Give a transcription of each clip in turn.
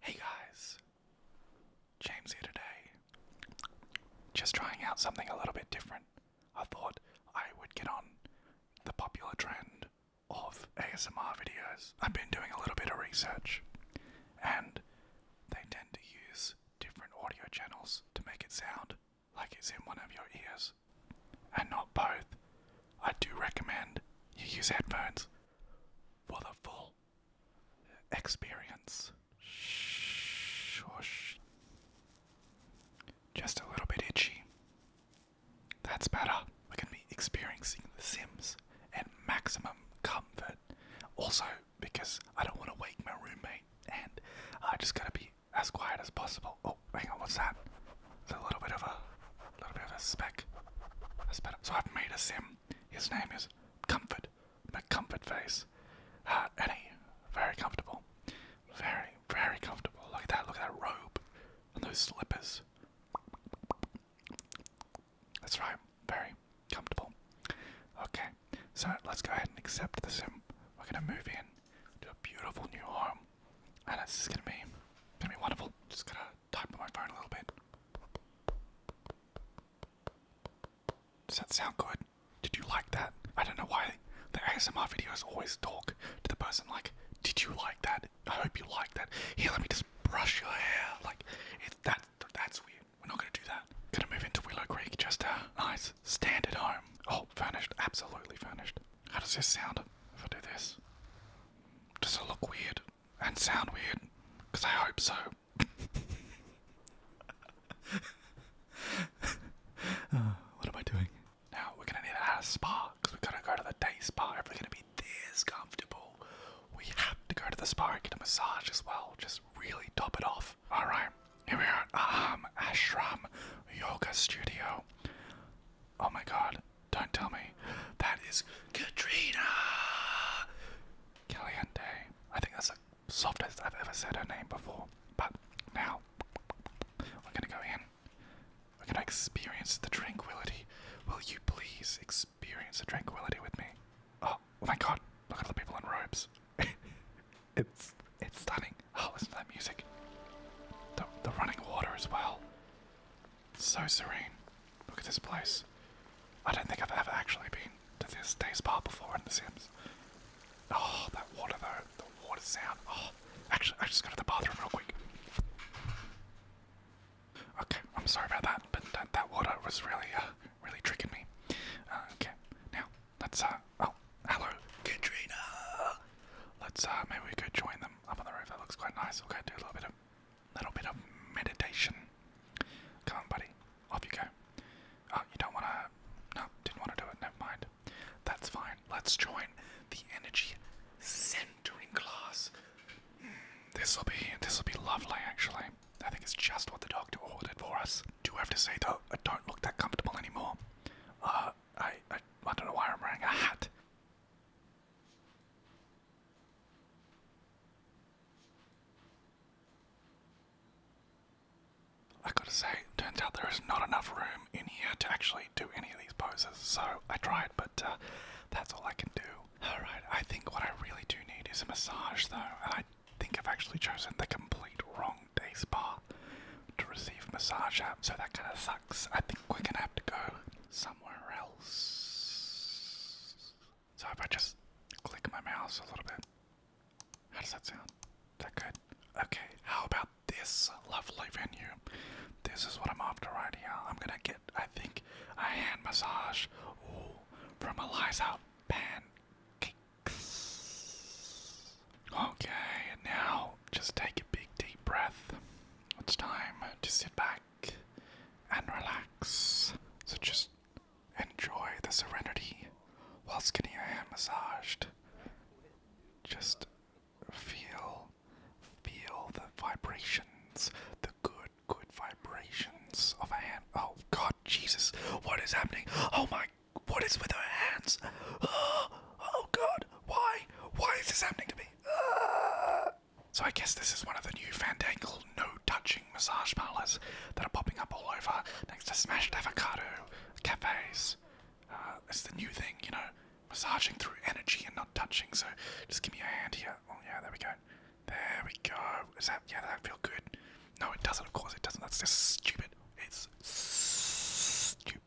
Hey guys, James here today. Just trying out something a little bit different. I thought I would get on the popular trend of ASMR videos. I've been doing a little bit of research, and they tend to use different audio channels to make it sound like it's in one of your ears and not both. I do recommend you use headphones for the full experience. Shush. Just a little bit itchy. That's better. We're going to be experiencing The Sims at maximum comfort. Also, because I don't want to wake my roommate, and I just got to be as quiet as possible. Oh, hang on, what's that? It's a little bit of a, a little bit of a speck. That's better. So I've made a sim his name is Comfort Comfort Face. Uh, and he, very comfortable. Very, very comfortable. Look at that, look at that robe and those slippers. That's right, very comfortable. Okay, so let's go ahead and accept the sim. We're gonna move in to a beautiful new home. And it's just gonna be gonna be wonderful. Just going to talk about my phone a little bit. Does that sound good? Did you like that? I don't know why the ASMR videos always talk to the person like, did you like that? I hope you like that. Here, let me just brush your hair. Like, it's that's weird. We're not gonna do that. Gonna move into Willow Creek, just a nice standard home. Oh, furnished, absolutely furnished. How does this sound if I do this? Does it look weird? and sound weird, because I hope so. Ah, what am I doing? Now we're gonna need to add a spa, because we're gonna go to the day spa if we're gonna be this comfortable. We have to go to the spa and get a massage as well, just really top it off. Alright, here we are Um, Ashram Yoga Studio. Oh my god, don't tell me. That is Katrina Caliente. I think that's the softest I've ever said her name before. But now, we're gonna go in. We're gonna experience the tranquility. Will you please experience the tranquility with me? Oh, oh my god, look at all the people in robes. it's it's stunning. Oh, listen to that music. The, the running water as well. So serene. Look at this place. I don't think I've ever actually been to this day bar before in The Sims. Oh, that water though. The water sound. Oh, actually, I just go to the bathroom real quick. Okay, I'm sorry about that, but that, water was really, uh, really tricking me. Uh, okay, now, let's, uh, oh, hello, Katrina! Let's, uh, maybe we could join them up on the roof. That looks quite nice. Okay, do a little bit of little bit of meditation. Come on, buddy. Off you go. Oh, you don't want to. No, didn't want to do it. Never mind. That's fine. Let's join the energy centering class. Hmm, this will be this will be lovely, actually. I think it's just what the doctor ordered for us. Do have to say though, I don't look that comfortable anymore. Uh, I I, I don't know why I'm wearing a hat. I gotta say, turns out there is not enough room in here to actually do any of these poses, so I tried, but uh, that's all I can do. Alright, I think what I really do need is a massage, though, and I think I've actually chosen the complete wrong day spa to receive massage at, so that kind of sucks. I think we're gonna have to go. So, somewhere else. So if I just click my mouse a little bit, how does that sound? Is that good? Okay, how about this lovely venue? This is what I'm after right here. I'm gonna get, I think, a hand massage from Eliza Pancakes. Okay, now just take a big deep breath it's time to sit back and relax. So just enjoy the serenity whilst getting your hand massaged. Just feel, feel the vibrations, the good, good vibrations of a hand. Oh God, Jesus, what is happening? Oh my, what is with her hands? Oh, oh God, why, why is this happening to me? So I guess this is one of the new Fandangle no-touching massage parlors that are popping up all over next to smashed avocado cafes. Uh, it's the new thing, you know, massaging through energy and not touching. So just give me a hand here. Oh yeah, there we go. There we go. Is that yeah? That feel good? No, it doesn't. Of course it doesn't. That's just stupid. It's stupid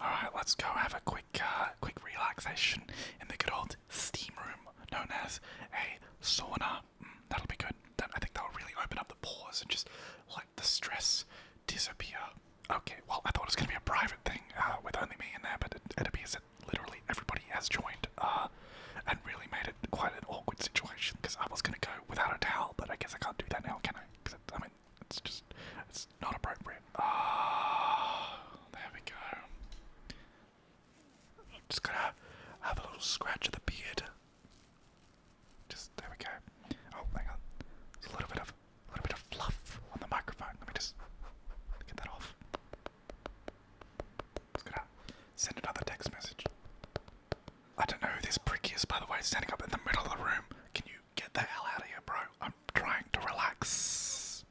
all right, let's go have a quick, uh, quick relaxation in the good old steam room known as a sauna. Mm, that'll be good. That, I think that'll really open up the pores and just let the stress disappear. Okay, well, I thought it was gonna be a private thing uh, with only me in there, but it, it appears that literally everybody has joined uh, and really made it quite an awkward situation because I was gonna go without a towel, but I guess I can't do that now, can I? It's just, it's not appropriate. Ah, there we go. Just going to have a little scratch of the beard. Just there we go. Oh, hang on. There's a little bit of, a little bit of fluff on the microphone. Let me just get that off. Just gonna send another text message. I don't know who this prick is, by the way, standing up in the middle of the room. Can you get the hell out of here, bro. I'm trying to relax.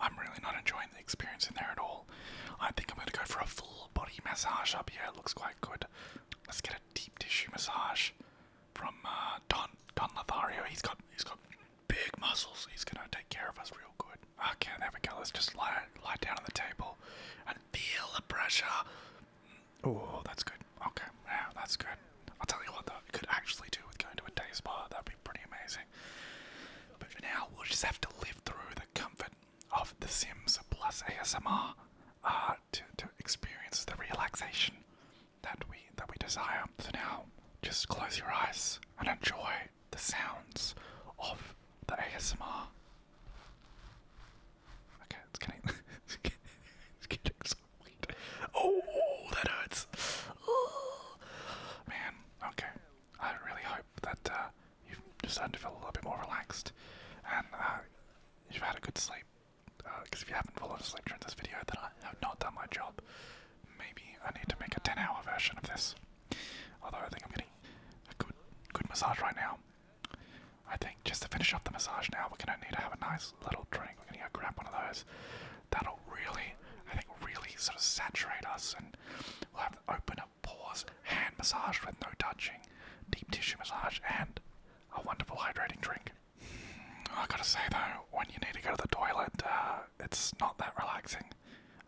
I'm really not enjoying the experience in there at all. I think I'm going to go for a full body massage up here. It looks quite good. Let's get a deep tissue massage from uh, Don Don Lothario. He's got he's got big muscles. He's going to take care of us real good. I Okay, there we go. Let's just lie lie down on the table and feel the pressure. Oh, that's good. Okay, yeah, that's good. I'll tell you what though, we could actually do with going to a day spa. That'd be pretty amazing. But for now, we'll just have to live through the comfort of The Sims plus ASMR uh, to to experience the relaxation that we that we desire. So now, just close your eyes and enjoy the sounds of the ASMR. Okay, it's getting, it's getting, it's getting Oh, that hurts. Oh, man, okay. I really hope that uh, you've decided to feel a little bit more relaxed and uh, you've had a good sleep. Because uh, if you haven't fallen asleep during this video, then I have not done my job. Maybe I need to make a 10 hour version of this. Although I think I'm getting a good, good massage right now. I think just to finish off the massage now, we're gonna need to have a nice little drink. We're gonna go grab one of those. That'll really, I think, really sort of saturate us, and we'll have to open up pause, hand massage with no touching, deep tissue massage, and a wonderful hydrating drink. Mm, I gotta say though, when you need to go to the toilet, uh, it's not that relaxing.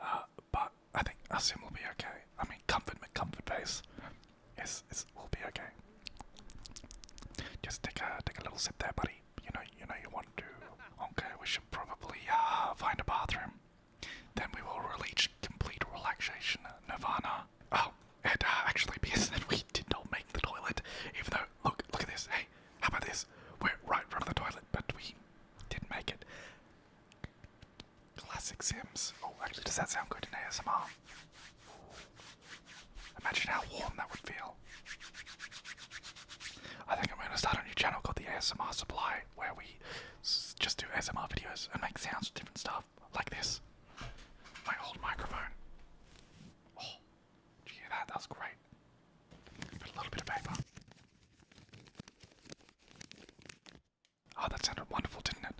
Uh, but I think a sim will be okay. I mean, comfort comfort base. Yes, it will be okay. Just take a take a little sip there, buddy. You know you know you want to. Okay, we should probably uh, find a bathroom. Then we will reach complete relaxation nirvana. Oh, and uh, actually, because then we did not make the toilet, even though look look at this. Hey, how about this? We're right in front of the toilet, but we didn't make it. Classic Sims. Oh, actually, does that sound good in ASMR? Imagine how warm that would feel. I think I'm going to start a new channel called the ASMR Supply where we just do ASMR videos and make sounds of different stuff like this. My old microphone. Oh, did you hear that? That was great. Put a little bit of paper. Oh, that sounded wonderful, didn't it?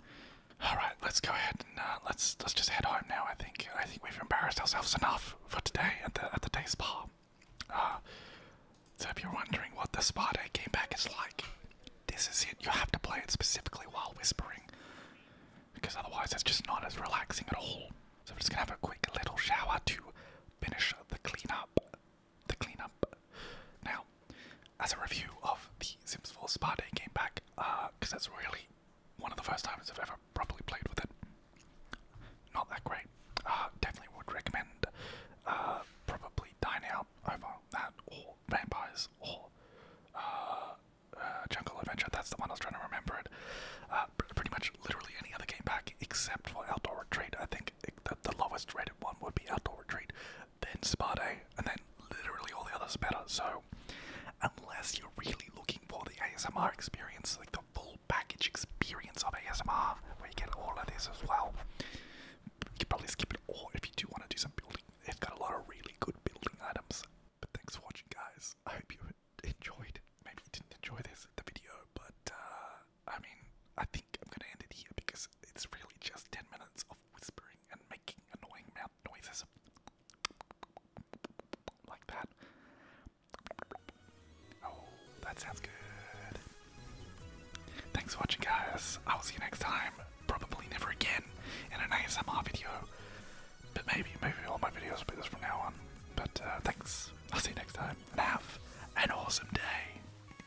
All right, let's go ahead and uh, let's let's just head home now. I think I think we've embarrassed ourselves enough for today at the at the day spa. Uh, so if you're wondering what the spa day came back is like, this is it. You have to play it specifically while whispering, because otherwise it's just not as relaxing at all. So I'm just gonna have a quick little shower to finish the cleanup. The cleanup. Now, as a review of the Sims 4 Spa Day game pack, because uh, that's really one of the first times I've ever properly played with it. Not that great. Uh, definitely would recommend uh, probably Dine Out over that, or Vampires, or Jungle Adventure. That's the one I was trying to remember it. pretty much literally any other game pack except for Outdoor Retreat. I think it, eh, the, the lowest rated one would be Outdoor Retreat then spa and then literally all the others better. So, unless you're really looking for the ASMR experience, like the full package experience of ASMR, where you get all of this as well, you can probably skip it. all if you do want to do some building, It's got a lot of really good building items. But thanks for watching, guys. I hope you enjoyed. Maybe didn't enjoy this the video, but uh, I mean, I think I'm gonna end it here because it's really just ten minutes of whispering and making annoying mouth noises like that. Oh, that sounds good. Thanks for watching, guys. I will see you next time. Probably never again in an ASMR video, but maybe, maybe all my videos will be this from now on. But uh, thanks. I'll see you next time. And have an awesome day.